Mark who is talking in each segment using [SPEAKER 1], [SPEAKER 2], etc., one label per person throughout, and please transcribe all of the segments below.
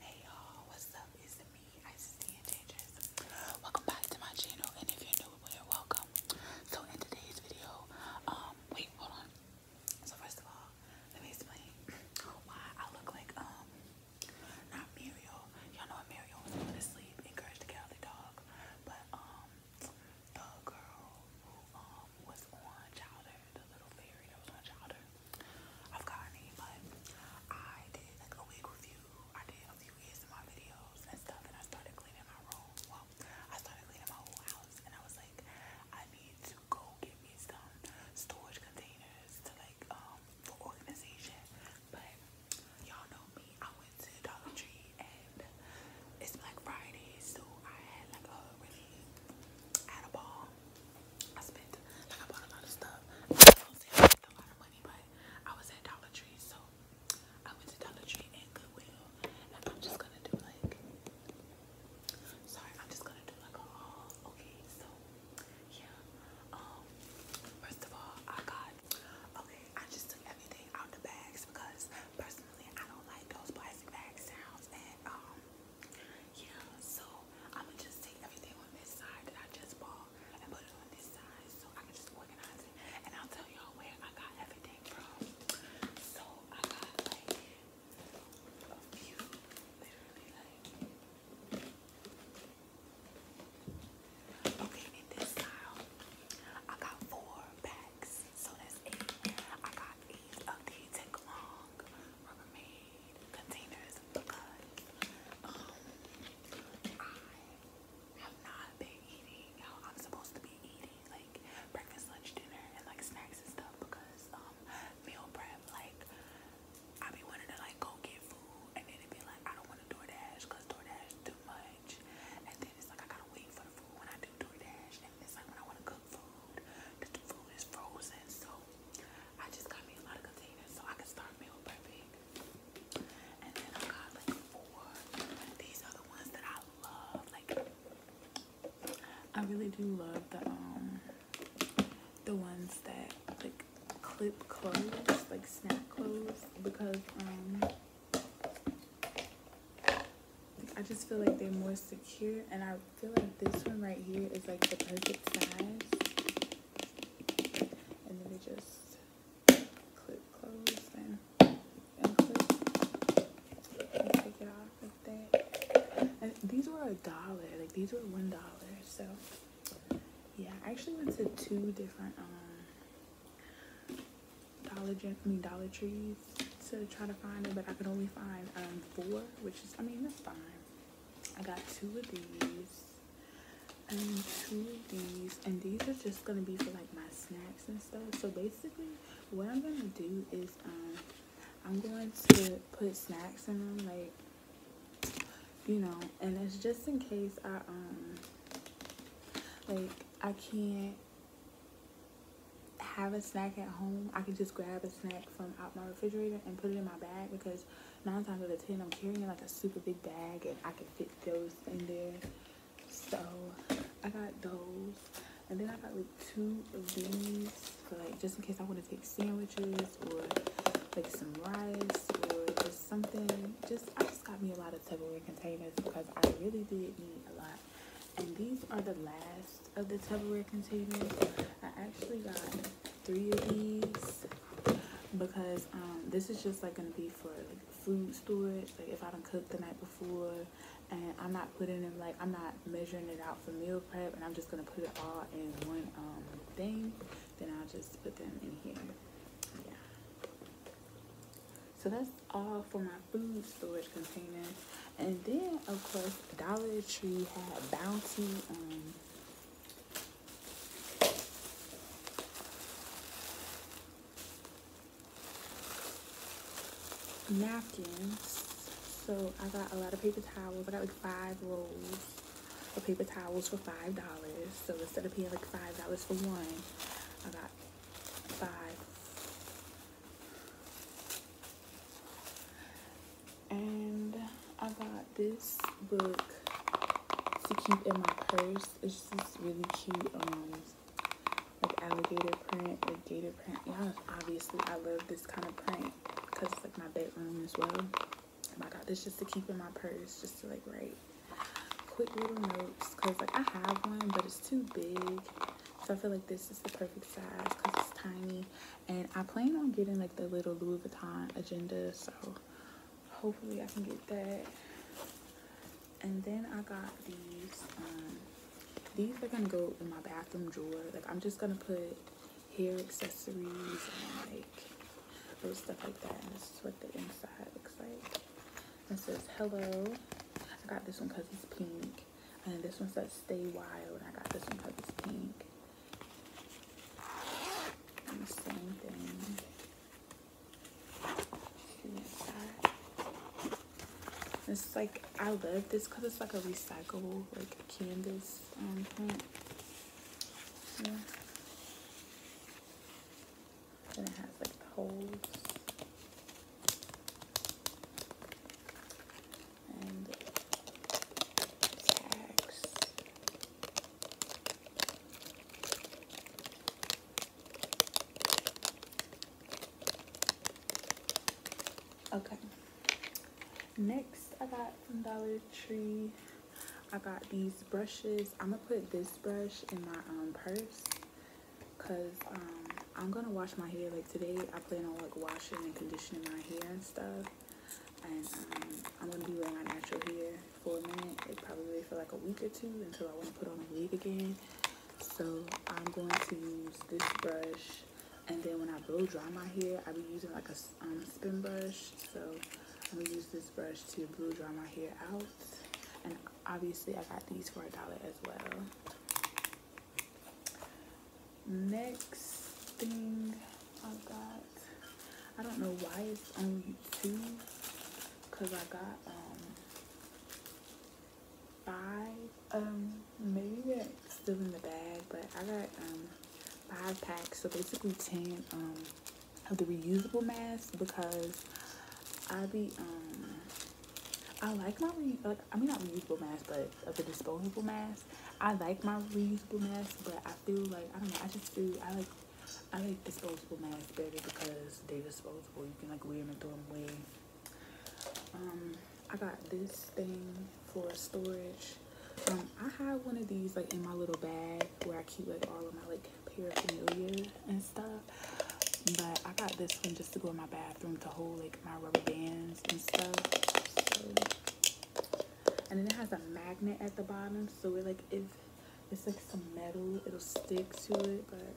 [SPEAKER 1] Hey y'all, what's up? It's me, Isis the Enchantress. Welcome back to my channel, and if you're new, well, are welcome. So in today's video, um, wait, hold on. So first of all, let me explain why I look like um, not Muriel. Y'all know Muriel was put to sleep, encouraged to get out the dog, but um, the girl who um was on Chowder, the little fairy that was on Chowder. I've gotten it, but I did like a wig review. I did a few years of my videos and stuff, and I started cleaning my room. I started cleaning my whole house, and I was like, I need to go get me some storage containers to like um for organization. But y'all know me. I went to Dollar Tree, and it's Black Friday, so I had like a really at a ball. I spent like I bought a lot of stuff. I don't say I spent money, but I was at Dollar Tree, so I went to Dollar Tree and Goodwill. I'm just gonna do like sorry, I'm just gonna do like a haul. Okay, so yeah. Um first of all I got okay, I just took everything out the bags because personally I don't like those plastic bag sounds um, yeah, so I'ma just take everything on this side that I just bought and put it on this side so I can just organize it. And I'll tell y'all where I got everything from. So I got like a few, literally like. Okay, in this style, I got four packs, so that's eight. I got eight of the take along. Rubbermaid containers because um, I have not been eating how I'm supposed to be eating, like breakfast, lunch, dinner, and like snacks and stuff because um, meal prep, like I be wanting to like go get food and then it be like I don't want to DoorDash because DoorDash too much and then it's like I gotta wait for the food when I do DoorDash and it's like when I want to cook food. The food is frozen, so I just got me a lot of containers so I can start meal prepping. And then I got like four. These are the ones that I love. Like I really do love the um the ones that like clip clothes, like snack clothes, because um I just feel like they're more secure and I I feel like this one right here is like the perfect size. And then we just clip close and unclip and take it off like that. And these were a dollar, like these were one dollar. So yeah, I actually went to two different um, Dollar Gen I mean Dollar Trees to try to find it, but I could only find um, four, which is, I mean, that's fine. I got two of these and um, two of these, and these are just gonna be for like my snacks and stuff. So basically, what I'm gonna do is, um, I'm going to put snacks in them, like, you know, and it's just in case I, um, like, I can't have a snack at home, I can just grab a snack from out my refrigerator and put it in my bag because nine times out of ten I'm carrying like a super big bag and I can fit those in there. So I got those. And then I got like two of these for like just in case I want to take sandwiches or like some rice or just something. Just I just got me a lot of Tupperware containers because I really did need a lot and these are the last of the Tupperware containers. I actually got three of these because um, this is just like gonna be for food storage. Like if I don't cook the night before and I'm not putting them like I'm not measuring it out for meal prep and I'm just gonna put it all in one um, thing, then I'll just put them in here. Yeah. So that's all for my food storage containers, And then, of course, Dollar Tree had Bounty. Um, napkins so i got a lot of paper towels i got like five rolls of paper towels for five dollars so instead of paying like five dollars for one i got five and I got this book to keep in my purse. It's just really cute, um, like alligator print or gator print. Yeah, obviously, I love this kind of print because it's like my bedroom as well. And I got this just to keep in my purse, just to like write quick little notes because like I have one, but it's too big so I feel like this is the perfect size because it's tiny. And I plan on getting like the little Louis Vuitton agenda. So hopefully I can get that. And then I got these. Um, these are going to go in my bathroom drawer. Like I'm just going to put hair accessories and like little stuff like that. And this is what the inside looks like. It says hello. I got this one because it's pink. And then this one says Stay Wild. I got this one because it's pink. And the same thing. It's like I love this because it's like a recyclable like canvas um, print. Yeah. And it has like holes. Okay. Next, I got from Dollar Tree. I got these brushes. I'm gonna put this brush in my um, purse because um, I'm gonna wash my hair like today I plan on like washing and conditioning my hair and stuff and um, I'm gonna be wearing my natural hair for a minute it probably for like a week or two until I want to put on a wig again so I'm going to use this brush and then when I blow dry my hair I'll be using like a um, spin brush so I'm gonna use this brush to blow dry my hair out and obviously I got these for a dollar as well next thing I got, I don't know why it's only two, cause I got um, five, um maybe that's still in the bag, but I got um, five packs, so basically ten um, of the reusable masks because I be I like my re I mean not reusable masks, but of the disposable masks. I like my reusable masks, but I feel like I don't know. I just feel I like I like disposable masks better because they're disposable. You can like wear them and throw them away. Um, I got this thing for storage. Um, I have one of these like in my little bag where I keep like all of my like paraphernalia and stuff but i got this one just to go in my bathroom to hold like my rubber bands and stuff and then it has a magnet at the bottom so it like if it's like some metal it'll stick to it but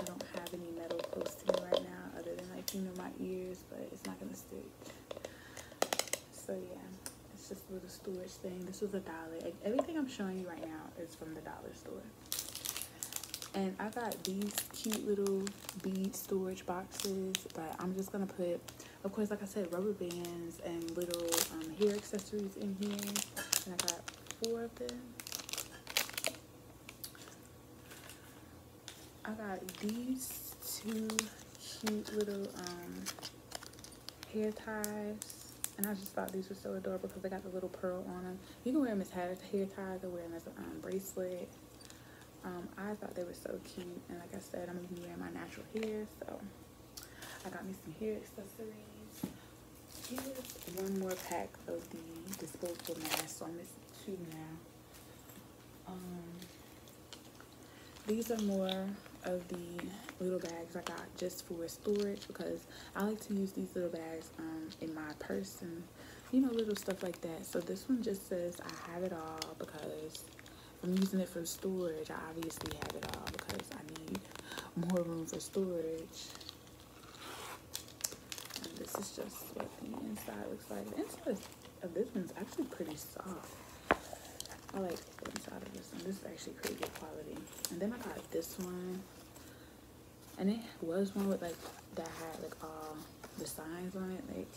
[SPEAKER 1] i don't have any metal close to me right now other than like you know my ears but it's not gonna stick so yeah it's just a little storage thing this was a dollar everything i'm showing you right now is from the dollar store and I got these cute little bead storage boxes, but I'm just gonna put, of course, like I said, rubber bands and little um, hair accessories in here. And I got four of them. I got these two cute little um, hair ties. And I just thought these were so adorable because they got the little pearl on them. You can wear them as hair, ties or wear them um, as a bracelet. Um, I thought they were so cute. And like I said, I'm even wearing my natural hair. So I got me some hair accessories. one more pack of the disposable mask, So I'm missing two now. Um, these are more of the little bags I got just for storage because I like to use these little bags um, in my person. You know, little stuff like that. So this one just says I have it all because I'm using it for storage. I obviously have it all because I need more room for storage. this is just what the inside looks like. The inside of this one's actually pretty soft. I like the inside of this one. This is actually pretty good quality. And then I got this one and it was one with like that had like all um, the signs on it like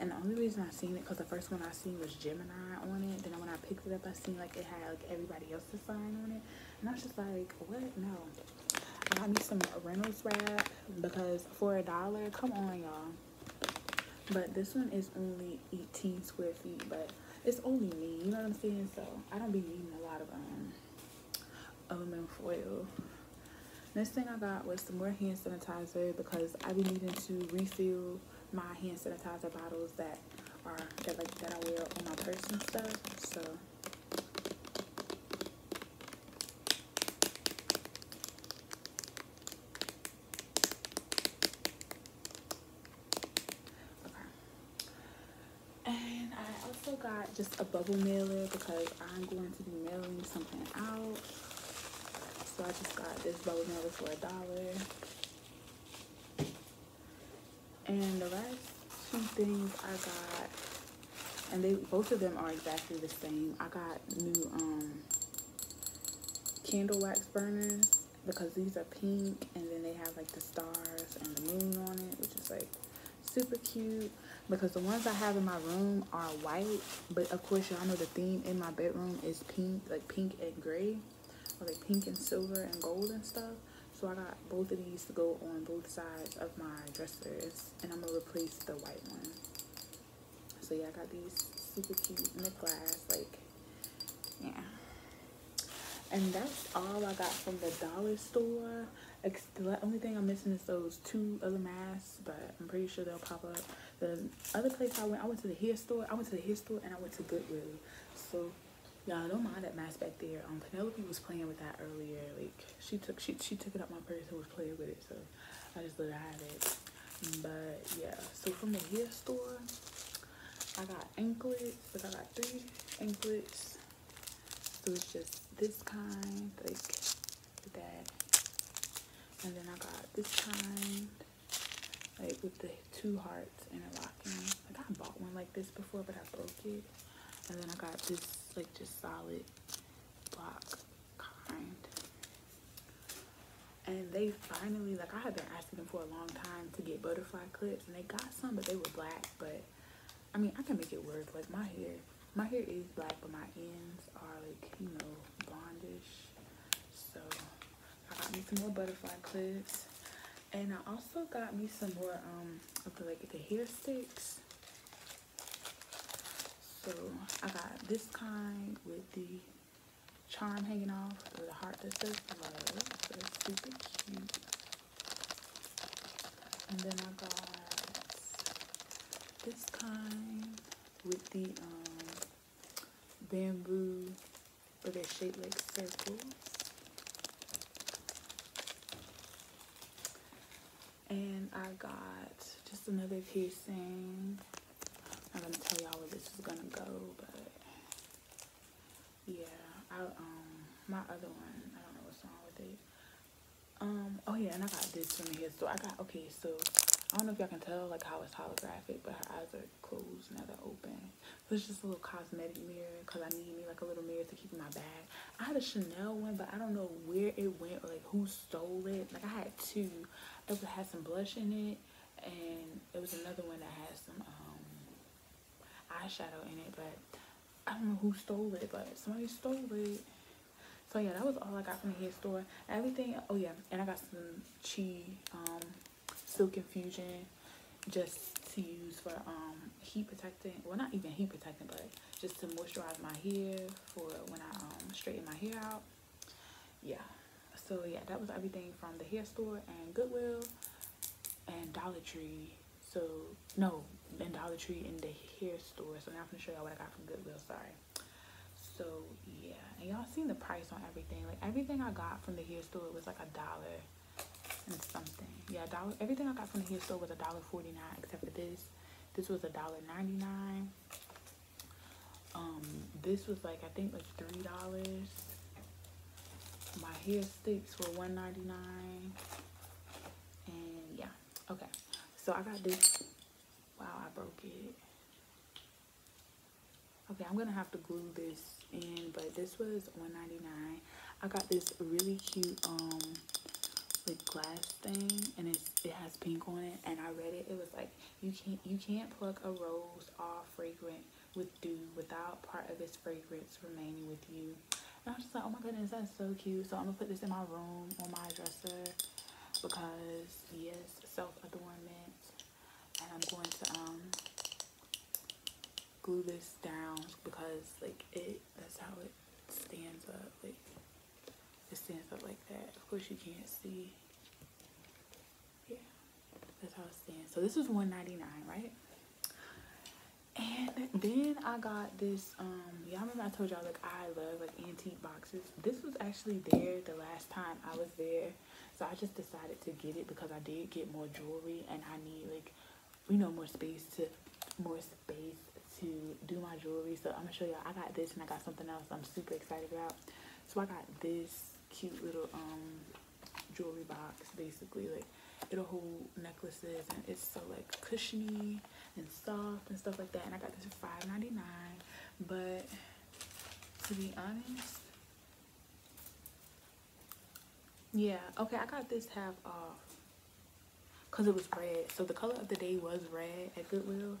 [SPEAKER 1] and the only reason I seen it because the first one I seen was Gemini on it then when I picked it up I seen like it had like everybody else's sign on it and I was just like what no I got me some Reynolds wrap because for a dollar come on y'all but this one is only 18 square feet but it's only me, you know what I'm saying? So I don't be needing a lot of um aluminum foil. Next thing I got was some more hand sanitizer because I be needing to refill my hand sanitizer bottles that are that like that I wear on my purse and stuff. So and I also got just a bubble mailer because I'm going to be mailing something out. So I just got this bubble mailer for a dollar. And the last two things I got, and they both of them are exactly the same. I got new um, candle wax burners because these are pink and then they have like the stars and the moon on it which is like super cute because the ones I have in my room are white but of course y'all know the theme in my bedroom is pink like pink and gray or like pink and silver and gold and stuff so I got both of these to go on both sides of my dressers and I'm gonna replace the white one so yeah I got these super cute in the glass like yeah and that's all i got from the dollar store the only thing i'm missing is those two other masks but i'm pretty sure they'll pop up the other place i went i went to the hair store i went to the hair store and i went to goodwill so y'all don't mind that mask back there um penelope was playing with that earlier like she took she, she took it up my purse and was playing with it so i just let her have it but yeah so from the hair store i got anklets because I got three anklets. So it's just this kind, like that. And then I got this kind, like with the two hearts interlocking. Like I bought one like this before, but I broke it. And then I got this, like just solid block kind. And they finally, like I have been them for a long time to get butterfly clips and they got some but they were black but I mean I can make it work like my hair my hair is black but my ends are like you know blondish so I got me some more butterfly clips and I also got me some more um of the like the hair sticks so I got this kind with the charm hanging off with a heart that says love. So it's super cute. And then I got this kind with the um, bamboo, but they're shaped like circles. And I got just another piercing. I'm not gonna tell y'all where this is gonna go, but yeah, I um my other one, I don't know what's wrong with it. Um, oh yeah, and I got this from here. So I got okay, so I don't know if y'all can tell like how it's holographic, but her eyes are closed now they're open. So it's just a little cosmetic mirror because I need me like a little mirror to keep in my bag. I had a Chanel one, but I don't know where it went or like who stole it. Like I had two. It had some blush in it and it was another one that had some um, eyeshadow in it but i don't know who stole it but somebody stole it so yeah that was all i got from the hair store everything oh yeah and i got some chi um, silk infusion just to use for um, heat protecting. well not even heat protecting, but just to moisturize my hair for when i straighten my hair out yeah so yeah that was everything from the hair store and goodwill and dollar tree so no and dollar tree and the hair store so now i'm gonna show y'all what i got from goodwill sorry so yeah and y'all seen the price on everything like everything i got from the hair store was like a dollar and something yeah dollar everything i got from the hair store was a dollar 49 except for this this was a dollar 99 um, this was like I think like three dollars. My hair sticks for one ninety nine, and yeah, okay. So I got this. Wow, I broke it. Okay, I'm gonna have to glue this in, but this was one ninety nine. I got this really cute um like glass thing, and it's it has pink on it, and I read it. It was like you can't you can't pluck a rose all fragrant with dew without part of its fragrance remaining with you. And I'm just like, oh my goodness, that's so cute. So I'm gonna put this in my room on my dresser because yes, self adornment. And I'm going to um glue this down because like it that's how it stands up. Like it stands up like that. Of course you can't see yeah, that's how it's stands. So this was 199 right? And then I got this, um, y'all remember I told y'all like I love like antique boxes. This was actually there the last time I was there. So I just decided to get it because I did get more jewelry and I need like, you know, more space to, more space to do my jewelry. So I'm gonna show y'all, I got this and I got something else I'm super excited about. So I got this cute little um, jewelry box basically like it'll hold necklaces and it's so like cushiony and soft and stuff like that and i got this for 5.99 but to be honest yeah okay i got this half off because it was red so the color of the day was red at goodwill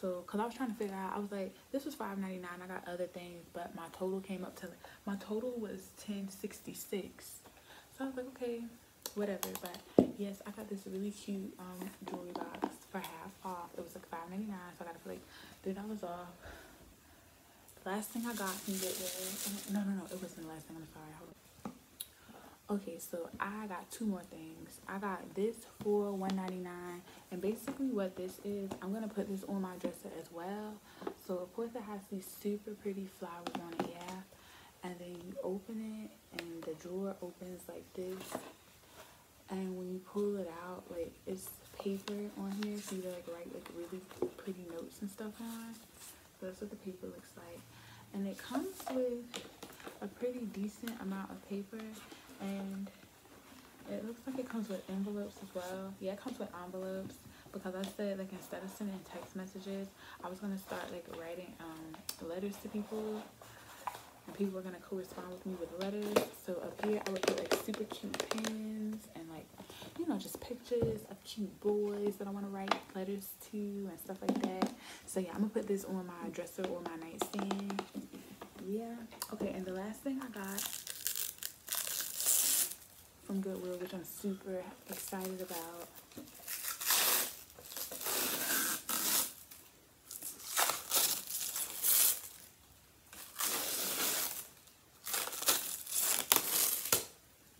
[SPEAKER 1] so because i was trying to figure out i was like this was $5.99 i got other things but my total came up to my total was 1066 so i was like okay whatever but yes i got this really cute um, jewelry box for half off it was like 5.99 so i got it for like three dollars off the last thing i got from get there no no no it wasn't the last thing i'm sorry okay so i got two more things i got this for 1.99 and basically what this is, I'm going to put this on my dresser as well. So of course it has these super pretty flowers on it, yeah. And then you open it and the drawer opens like this. And when you pull it out, like it's paper on here. So you like write like really pretty notes and stuff on. So that's what the paper looks like. And it comes with a pretty decent amount of paper. And it looks like it comes with envelopes as well. Yeah, it comes with envelopes because I said like instead of sending text messages, I was gonna start like writing um, letters to people. And people were gonna correspond with me with letters. So up here I would put like super cute pins and like you know just pictures of cute boys that I wanna write letters to and stuff like that. So yeah, I'm gonna put this on my dresser or my nightstand yeah. Okay, and the last thing I got from Goodwill, which I'm super excited about.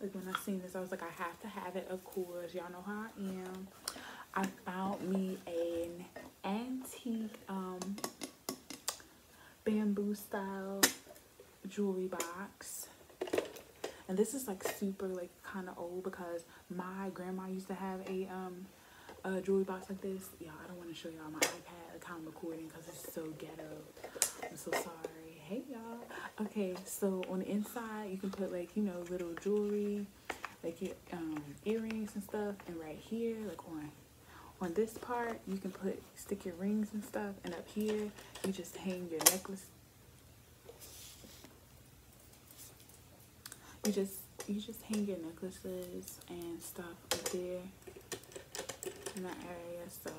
[SPEAKER 1] Like when I seen this, I was like, I have to have it, of course. Y'all know how I am. I found me a antique um, bamboo style jewelry box and this is like super like kind of old because my grandma used to have a um jewelry box like this y'all i don't want to show y'all my ipad like how i'm recording because it's so ghetto i'm so sorry hey y'all okay so on the inside you can put like you know little jewelry like your um, earrings and stuff and right here like on on this part you can put stick your rings and stuff and up here you just hang your necklace you just you just hang your necklaces and stuff up there in that area so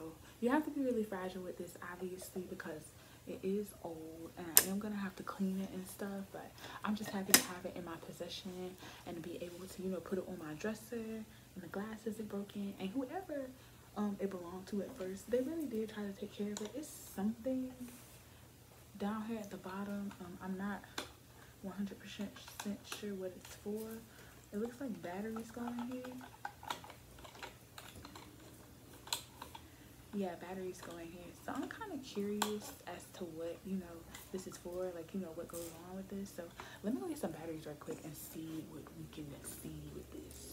[SPEAKER 1] you have to be really fragile with this obviously because it is old and I am gonna have to clean it and stuff but I'm just happy to have it in my possession and be able to, you know, put it on my dresser and the glass isn't broken and whoever um, it belonged to at first, they really did try to take care of it. It's something down here at the bottom. Um, I'm not 100% sure what it's for. It looks like batteries going here yeah batteries going here so i'm kind of curious as to what you know this is for like you know what goes on with this so let me go get some batteries real quick and see what we can see with this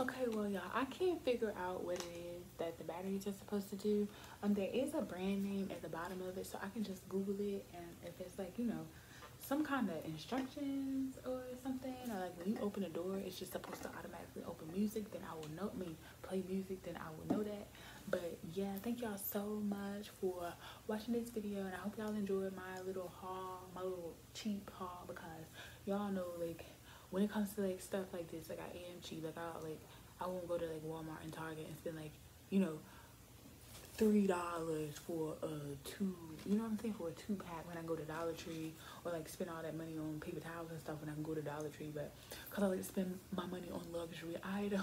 [SPEAKER 1] Okay, well, y'all, I can't figure out what it is that the batteries are supposed to do. Um, there is a brand name at the bottom of it, so I can just Google it, and if it's like you know, some kind of instructions or something, or like when you open a door, it's just supposed to automatically open music. Then I will know me play music. Then I will know that. But yeah, thank y'all so much for watching this video, and I hope y'all enjoyed my little haul, my little cheap haul, because y'all know like when it comes to like stuff like this, like I am cheap. Like I like I won't go to like Walmart and Target and spend like you know three dollars for a two. You know what I'm saying for a two pack when I go to Dollar Tree or like spend all that money on paper towels and stuff when I can go to Dollar Tree. But cause I like to spend my money on luxury items.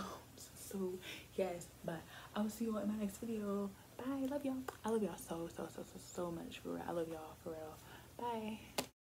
[SPEAKER 1] So yes, but I will see you all in my next video. Bye. Love y'all. I love y'all so so so so so much for real. I love y'all for real. Bye.